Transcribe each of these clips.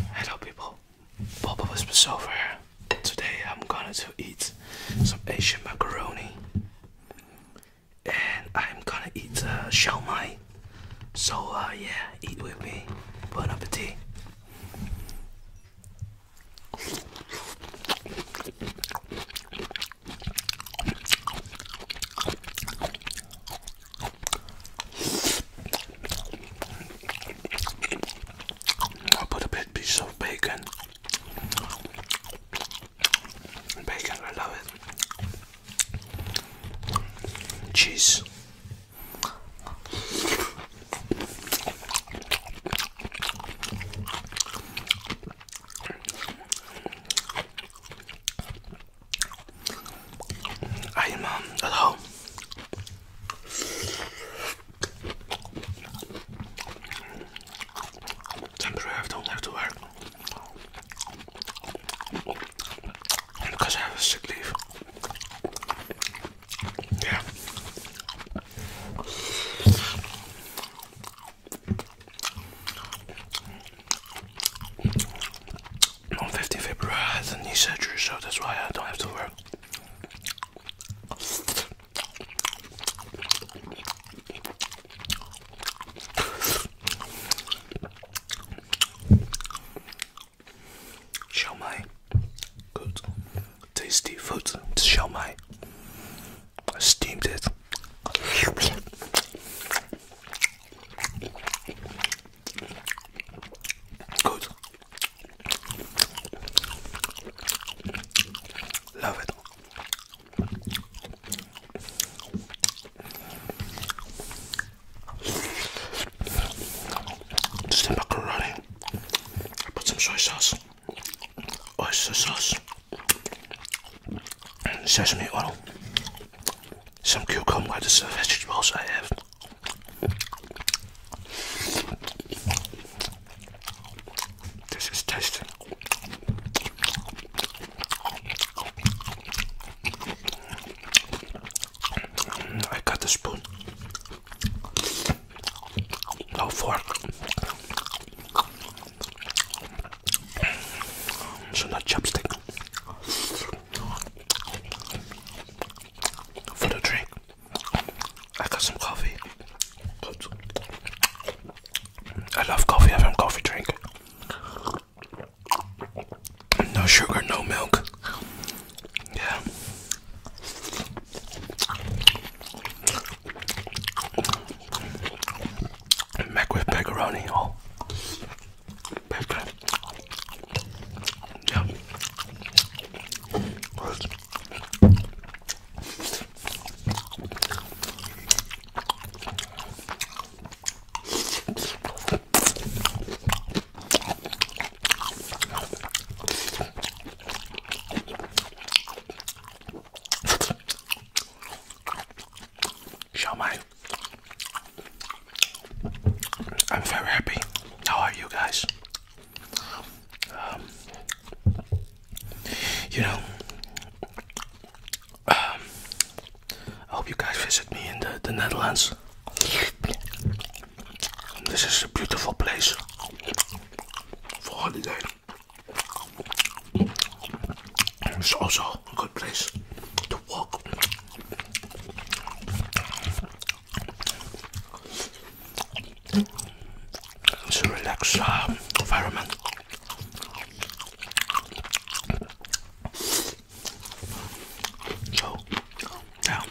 Hello people, Papa was over here. Today I'm gonna to eat some Asian macaroni and I'm gonna eat uh, xiaomai. So uh, yeah, eat with me. Bon appetit. I put a big piece of bacon. Bacon, I love it. Cheese. I am at home Temporary, I don't have to work because I have a sick leave. Yeah on 15 February I had a knee surgery, so that's why I don't have to work. Show good tasty food to steamed it. Good. Love it. Just in macaroni. I put some soy sauce, oyster sauce, sesame oil, some cucumber, just the vegetables I have. This is tasty. Mm, I got the spoon. No fork. So not chopstick. For the drink. I got some coffee. I love coffee. I have a coffee drink. No sugar, no milk. Yeah. Mac with macaroni. Oh. Yeah. Gross. Shawmai. I'm very happy. How are you guys? Um, you know, um, I hope you guys visit me in the, the Netherlands. This is a beautiful place for holiday. It's also a good place to walk. It's a relaxed um, environment. So, yeah.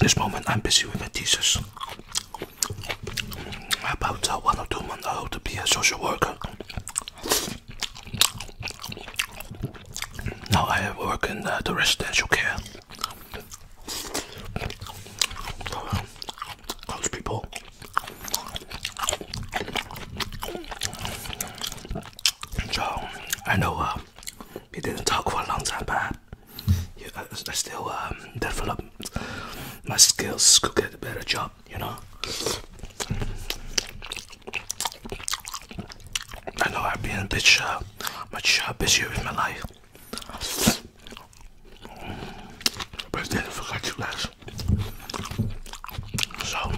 This moment I'm busy with my thesis about uh, one or two months old to be a social worker. Now I have work in uh, the residential care. those people. So I know uh, we didn't talk for a long time, but I, still um, develop my skills to get a better job you know. I know I've been a bit uh, much uh, busy with my life, but didn't forget you guys. So,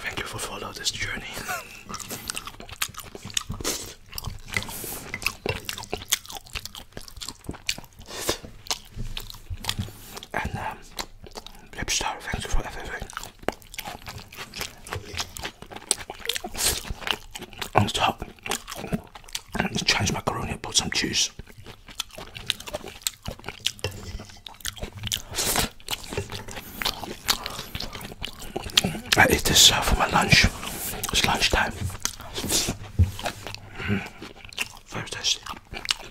thank you for following this journey. And um, lip um, thank you for everything. On top, I need to change macaroni and put some cheese. I eat this uh, for my lunch. It's lunchtime. Mm. Very tasty.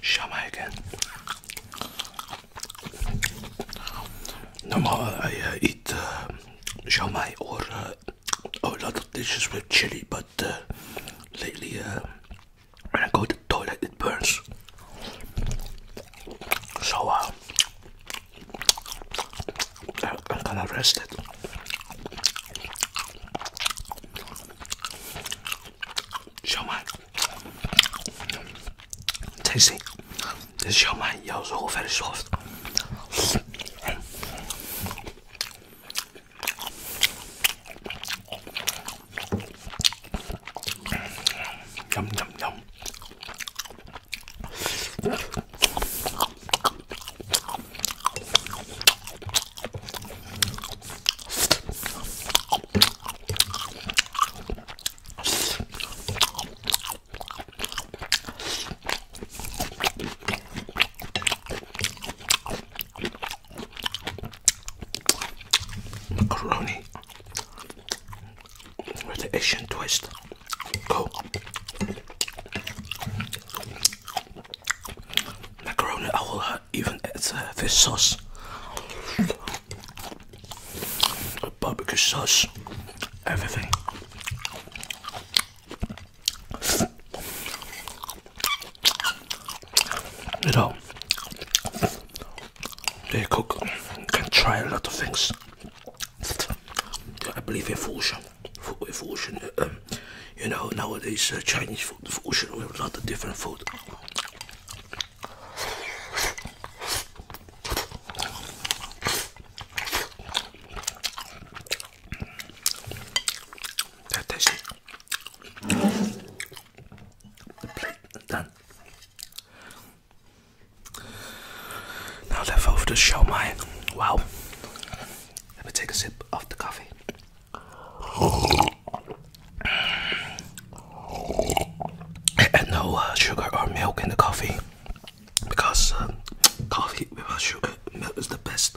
Shawmai again. No more I uh, eat uh, or a lot of dishes with chili, but uh, lately uh, when I go to the toilet it burns. So uh, I'm gonna rest it. Shawmai. Tasty. This shawmai yeah, is all very soft. 냠냠냠. 음, 음, 음. 마카로니 with the Asian twist. Go. Macaroni I will uh, even add uh, fish sauce. A barbecue sauce. Everything. You know, they cook can try a lot of things. I believe in fusion, fusion. Uh, um, you know, nowadays uh, Chinese food fusion with a lot of different food. That's it. The plate done. Now left over to show my wow. Let me take a sip of the coffee. And no uh, sugar or milk in the coffee because uh, coffee without sugar milk is the best.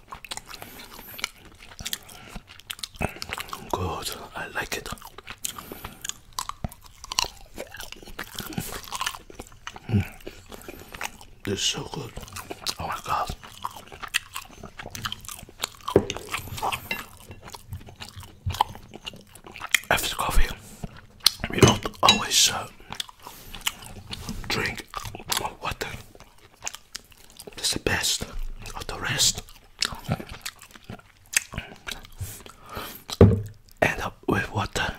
Good, I like it. Mm. This is so good. Oh my god. After coffee, we don't always uh, drink water. It's the best of the rest. End up with water.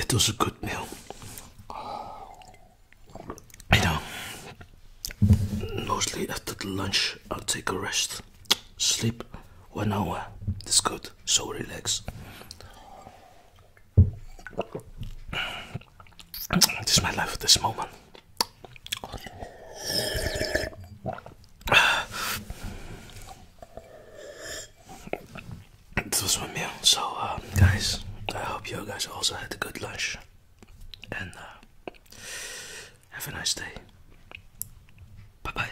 It was a good meal. You know, mostly after the lunch, I'll take a rest, sleep one hour. It's good so relaxed. This is my life at this moment. This was my meal. So, um, guys, I hope you guys also had a good lunch. And uh, have a nice day. Bye bye.